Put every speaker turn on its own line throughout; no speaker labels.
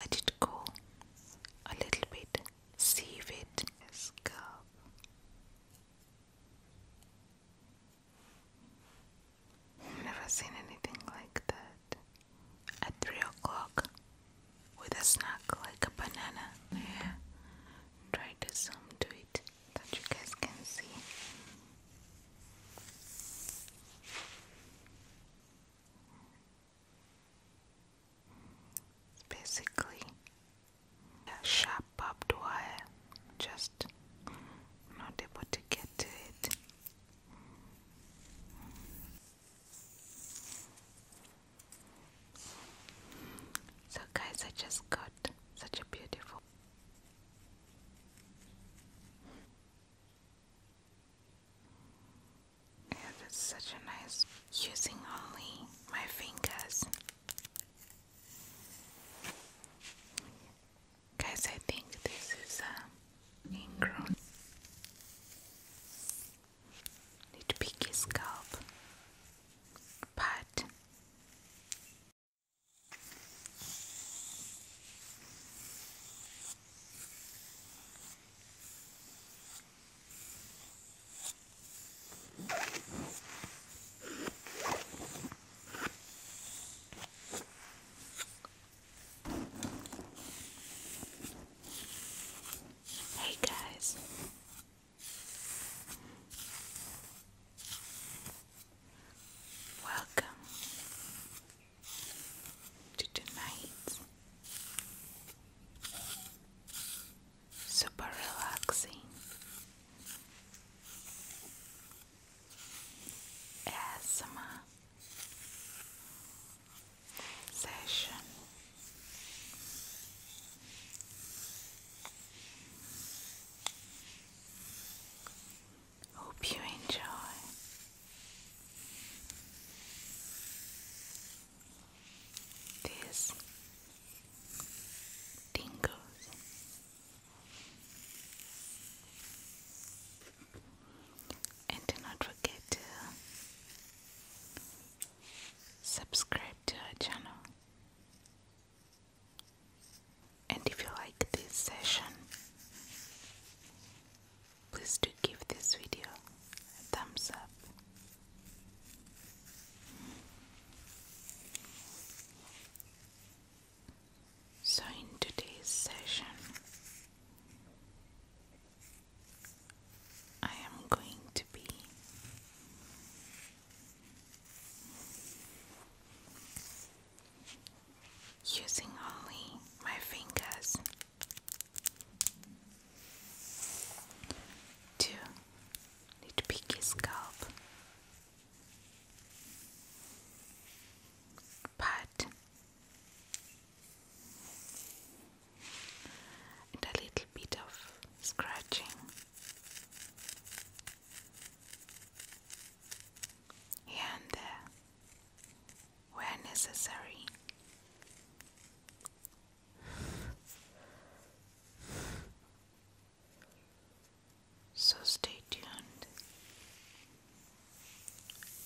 let it go a little bit, sieve it, scalp. i never seen anything like that. At three o'clock, with a snack like a banana. Yeah, try to zoom to it that you guys can see. Basically, a sharp barbed wire, just not able to get to it. So, guys, I just got such a beautiful. Yeah, that's such a nice using only my fingers. Guys, I think this is a um, ingrown. Need scalp, but. Hey guys. Welcome to tonight, super relaxing ASMR session. Hope you enjoy. This tingles. And do not forget to subscribe to our channel. And if you like this session, please do give this video a thumbs up. So, in today's session, I am going to be using only my fingers Two, to pick his scalp. Pat and a little bit of scratching. Here and there where necessary. So stay tuned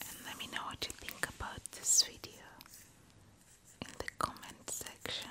and let me know what you think about this video in the comment section.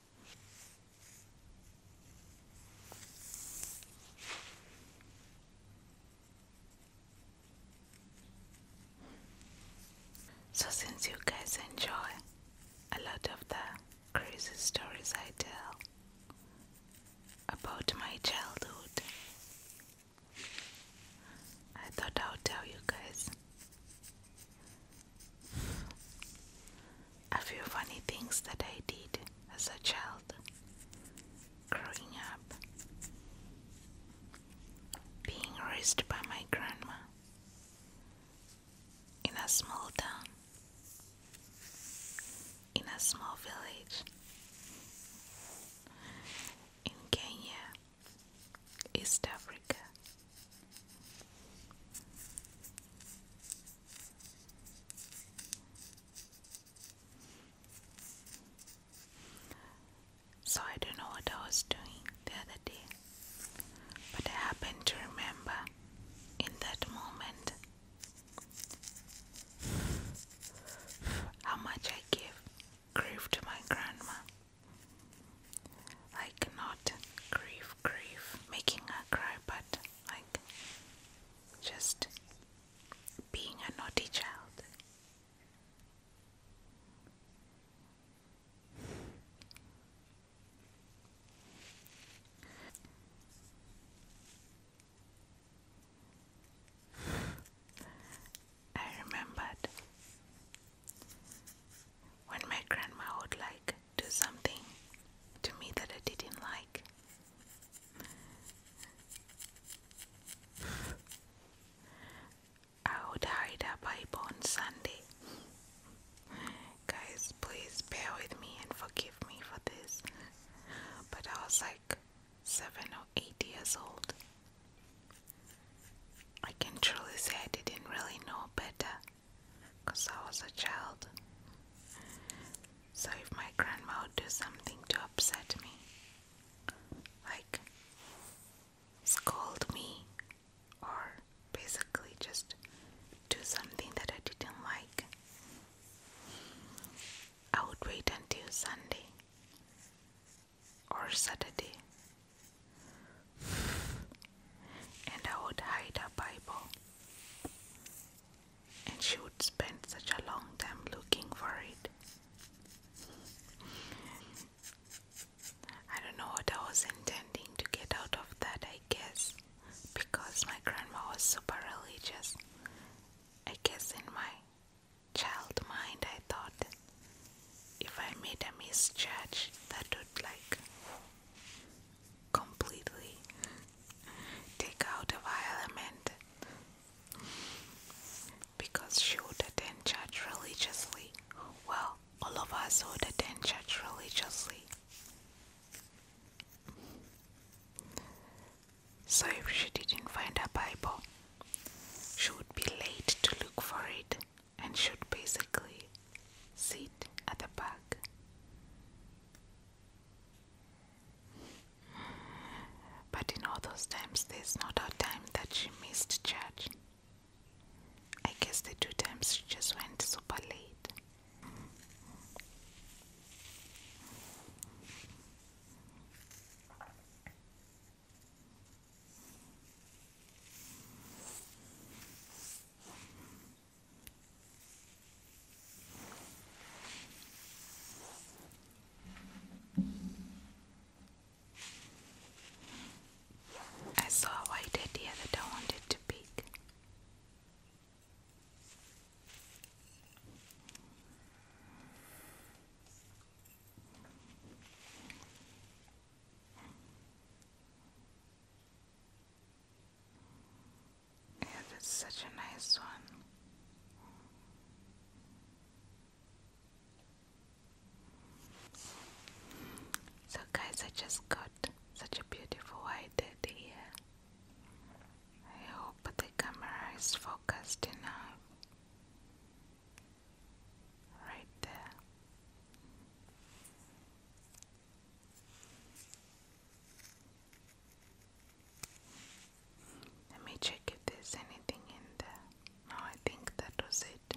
So, since you guys enjoy a lot of the crazy stories I tell about my childhood, I thought I would tell you guys a few funny things that I did as a child growing up. Being raised by my grandma in a small town, in a small village in Kenya, East Africa. So I don't know what I was doing the other day, but I happen to remember in that moment how much I gave grief to my grandma. I cannot grieve, grieve, making her cry, but like just being a naughty child. I remembered when my grandma would like do something to me that I didn't like. I would hide a Bible on Sunday. Guys, please bear with me and forgive me for this. But I was like seven or eight years old. I can truly say I didn't really know better because I was a child. So if my grandma would do something to upset me, like scold me, or basically just do something that I didn't like, I would wait until Sunday or Saturday and I would hide her Bible. And she would spend such a long time looking for it. I don't know what I was intending to get out of that, I guess, because my grandma was super religious. I guess in my child mind, I thought if I made a misjudge, that would like completely take out a violent because she would attend church religiously. Well, all of us would attend church religiously. So if she didn't find her Bible, she would be late to look for it and should basically Sit at the back. But in all those times, there's not a time that she missed church. I guess the two times she just went super late. I saw a white idea that I wanted to pick. And it's such a nice one. So, guys, I just got such a beautiful white I hope the camera is focused enough. Right there. Let me check if there's anything in there. No, I think that was it.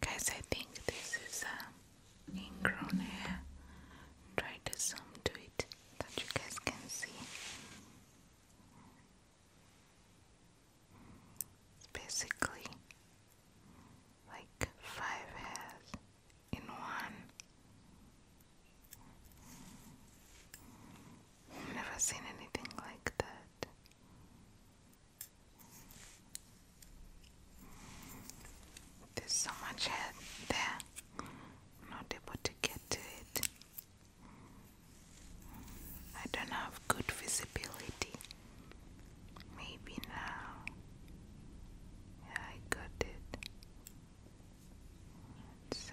Guys, I think this is a um, ingrown hair. Try to zoom to it that you guys can see. basically like five hairs in one. never seen anything like that. There's so much hair there. not able to get to it. I don't have good visibility. Maybe now. I got it. It's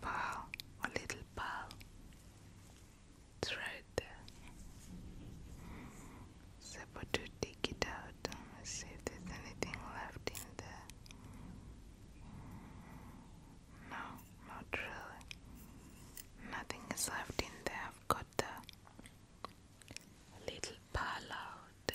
pearl, a little pearl. It's right there. So to dig it out and let's see if there's anything left in there. No, not really. Nothing is left in there. I've got the little pearl out.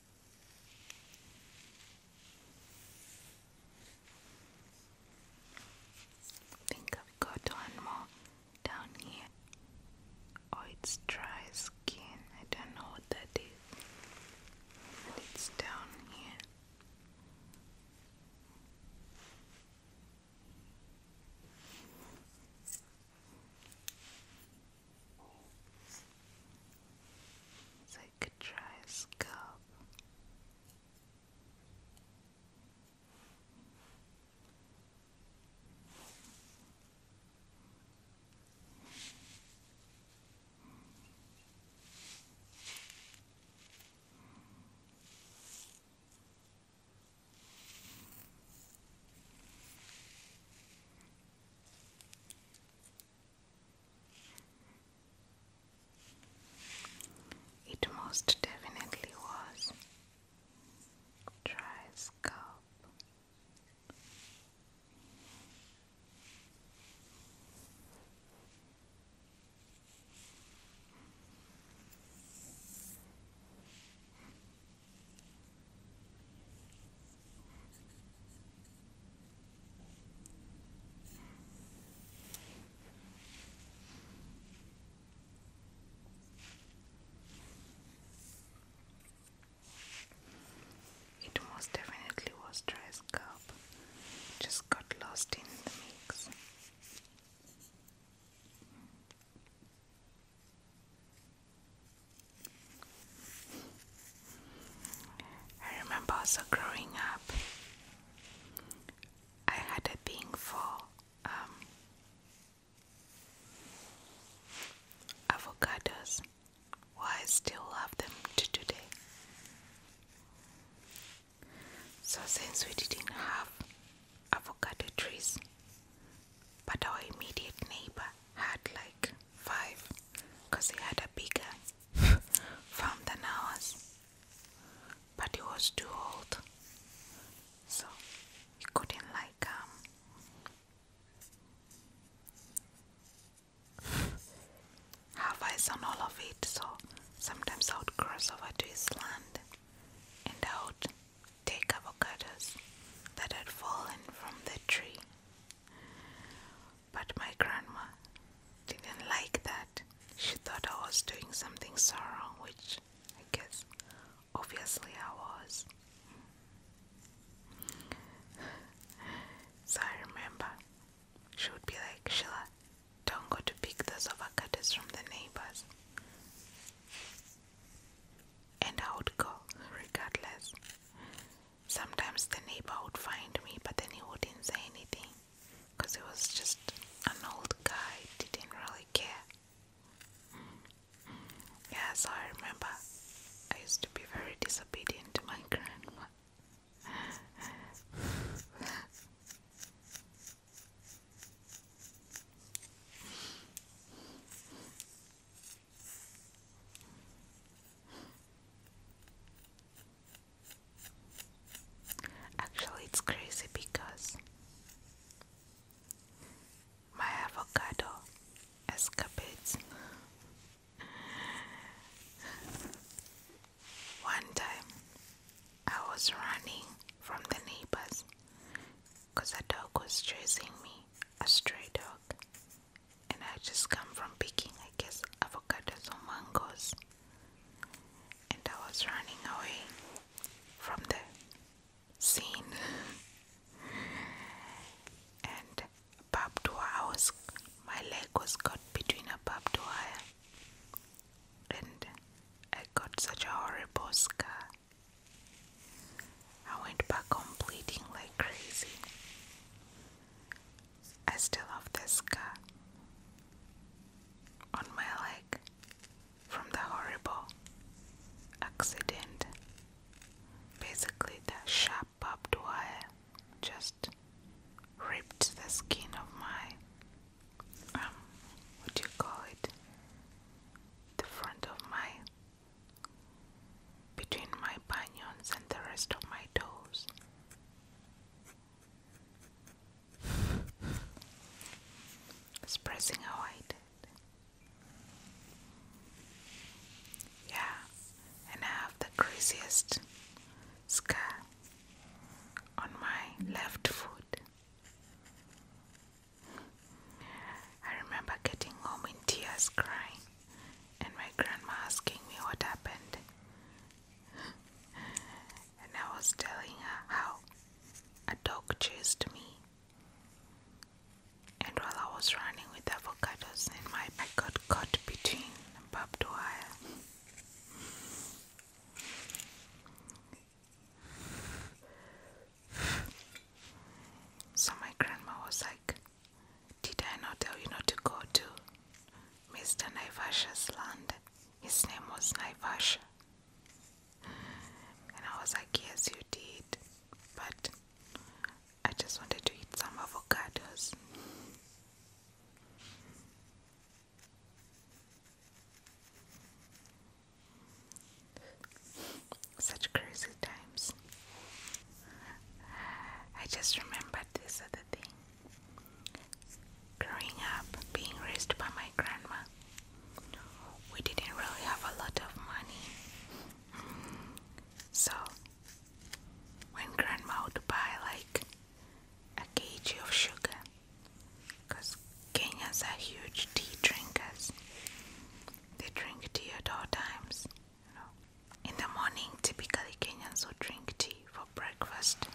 I think I've got one more down here. Oh, it's dry skin. I don't know what that is. But it's down here. I could try a scalp. It most definitely was. Dry scalp. It most definitely was dressed up. just got lost in the mix. I remember also growing up, I had a thing for um, avocados. Well, I still love them to today. So, since we didn't have avocado trees, but our immediate neighbor had like five because he had a bigger farm than ours, but he was too old, so he couldn't like um, have eyes on all of it. So sometimes I would cross over to his land and out take avocados that had fallen from the tree. But my grandma didn't like that. She thought I was doing something so wrong, which I guess obviously I was. So I remember she would be like, Sheila, don't go to pick those avocados from the neighbors. And I would go regardless. Sometimes the neighbor would find me, but then he wouldn't say anything because he was just an old guy, didn't really care. Yeah, so I remember I used to be very disobedient to my grandma. Actually, it's crazy because my avocado escapades. One time I was running from the neighbors because a dog was chasing me, a stray dog and I just come from picking, I guess, avocados or mangoes, and I was running away from the scene. and barbed wire, was, my leg was caught between a barbed wire, and I got such a horrible scar. I went back on bleeding like crazy. I still have this scar on my leg from the horrible accident. Basically, the sharp barbed wire just ripped the skin of my um, what do you call it? The front of my between my bunions and the rest of my toes. Expressing how I did. Yeah, and I have the craziest scar on my left foot. I remember getting home in tears crying and my grandma asking me what happened. and I was telling her how a dog chased me. And while I was running with avocados in my I got caught between barbed wire. So my grandma was like, did I not tell you not to go to Mr. Naivasha's land? His name was Naivasha. And I was like, Yes, you did, but I just wanted to eat some avocados. Such crazy times. I just remembered this other thing. Growing up, being raised by my grandma, we didn't really have a lot of money. So, when grandma would buy like a kg of sugar, because Kenyans are huge tea drinkers, they drink tea at all times. In the morning, typically Kenyans will drink tea for breakfast.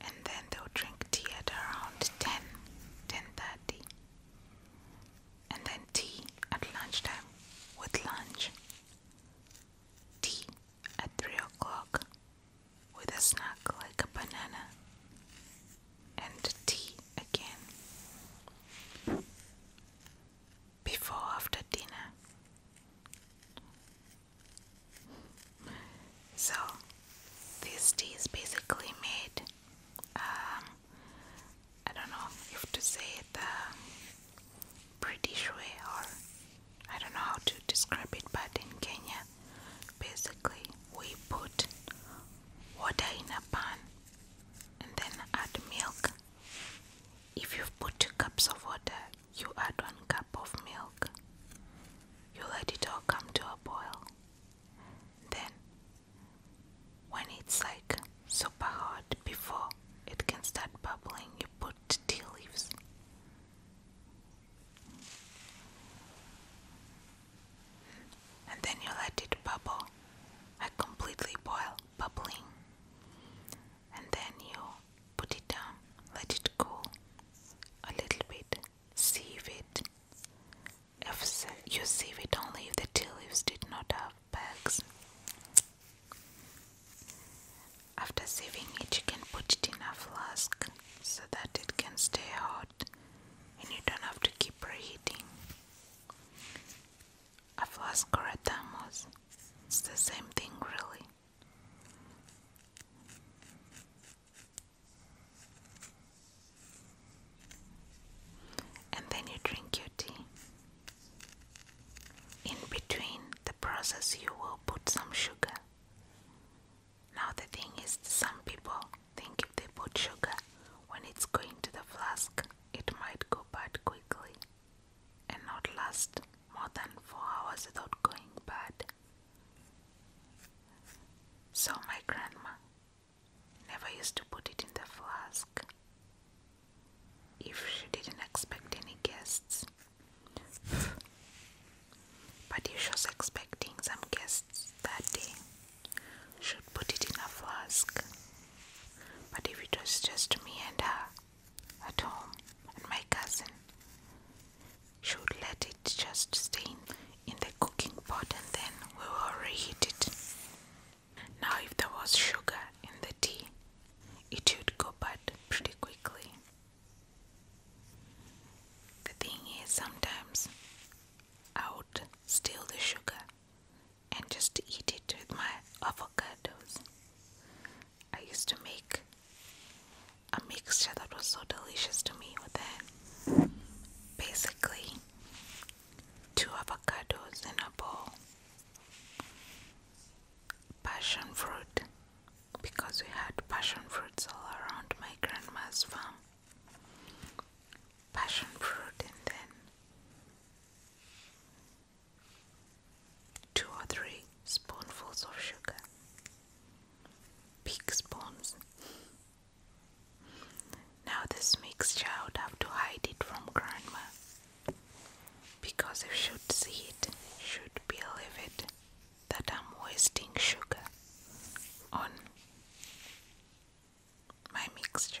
And then they will drink tea at around 10, 10.30. And then tea at lunchtime with lunch. Tea at 3 o'clock with a snack like a banana. And tea again before after dinner. So this tea is basically made. Um, I don't know if to say the British way or I don't know how to describe it, but in Kenya, basically we put water in a pan and then add milk if you put two cups of water, you add one cup of milk. You let it all come to a boil. Then, when it's like super hot, before it can start bubbling, you put tea leaves. And then you let it bubble, I completely boil, bubbling and then you put it down, let it cool a little bit, sieve it. If you sieve it only if the tea leaves did not have bags. After sieving it, you can put it in a flask so that it can stay hot and you don't have to keep reheating. Aflascoretamos. It's the same thing, really. And then you drink your tea. In between the process, you will put some sugar. Now, the thing is, some people think if they put sugar when it's going to the flask, it might go bad quickly and not last more than four hours without going bad. So my grandma never used to put it in the flask if she didn't expect any guests. but if she was expecting some guests that day, she'd put it in a flask. But if it was just me and her, at home, my cousin should let it just stay in the cooking pot and then we will reheat it. Now, if there was sugar in the tea, it would go bad pretty quickly. The thing is, sometimes I would steal the sugar and just eat it with my avocados. I used to make a mixture that was so delicious to me with that. Basically, two avocados in a bowl, passion fruit, because we had passion fruits all around my grandma's farm. Passion fruit and then 2 or 3 spoonfuls of sugar, big spoons. Now, this mixture I would have to hide it from grandma because if she'd see it, she'd believe it that I'm wasting sugar on my mixture.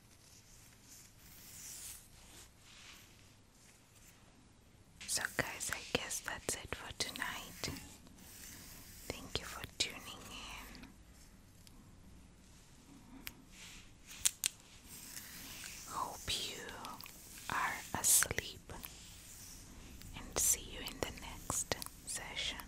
So, guys, I guess that's it for tonight. Thank you for tuning in. Hope you are asleep and see you in the next session.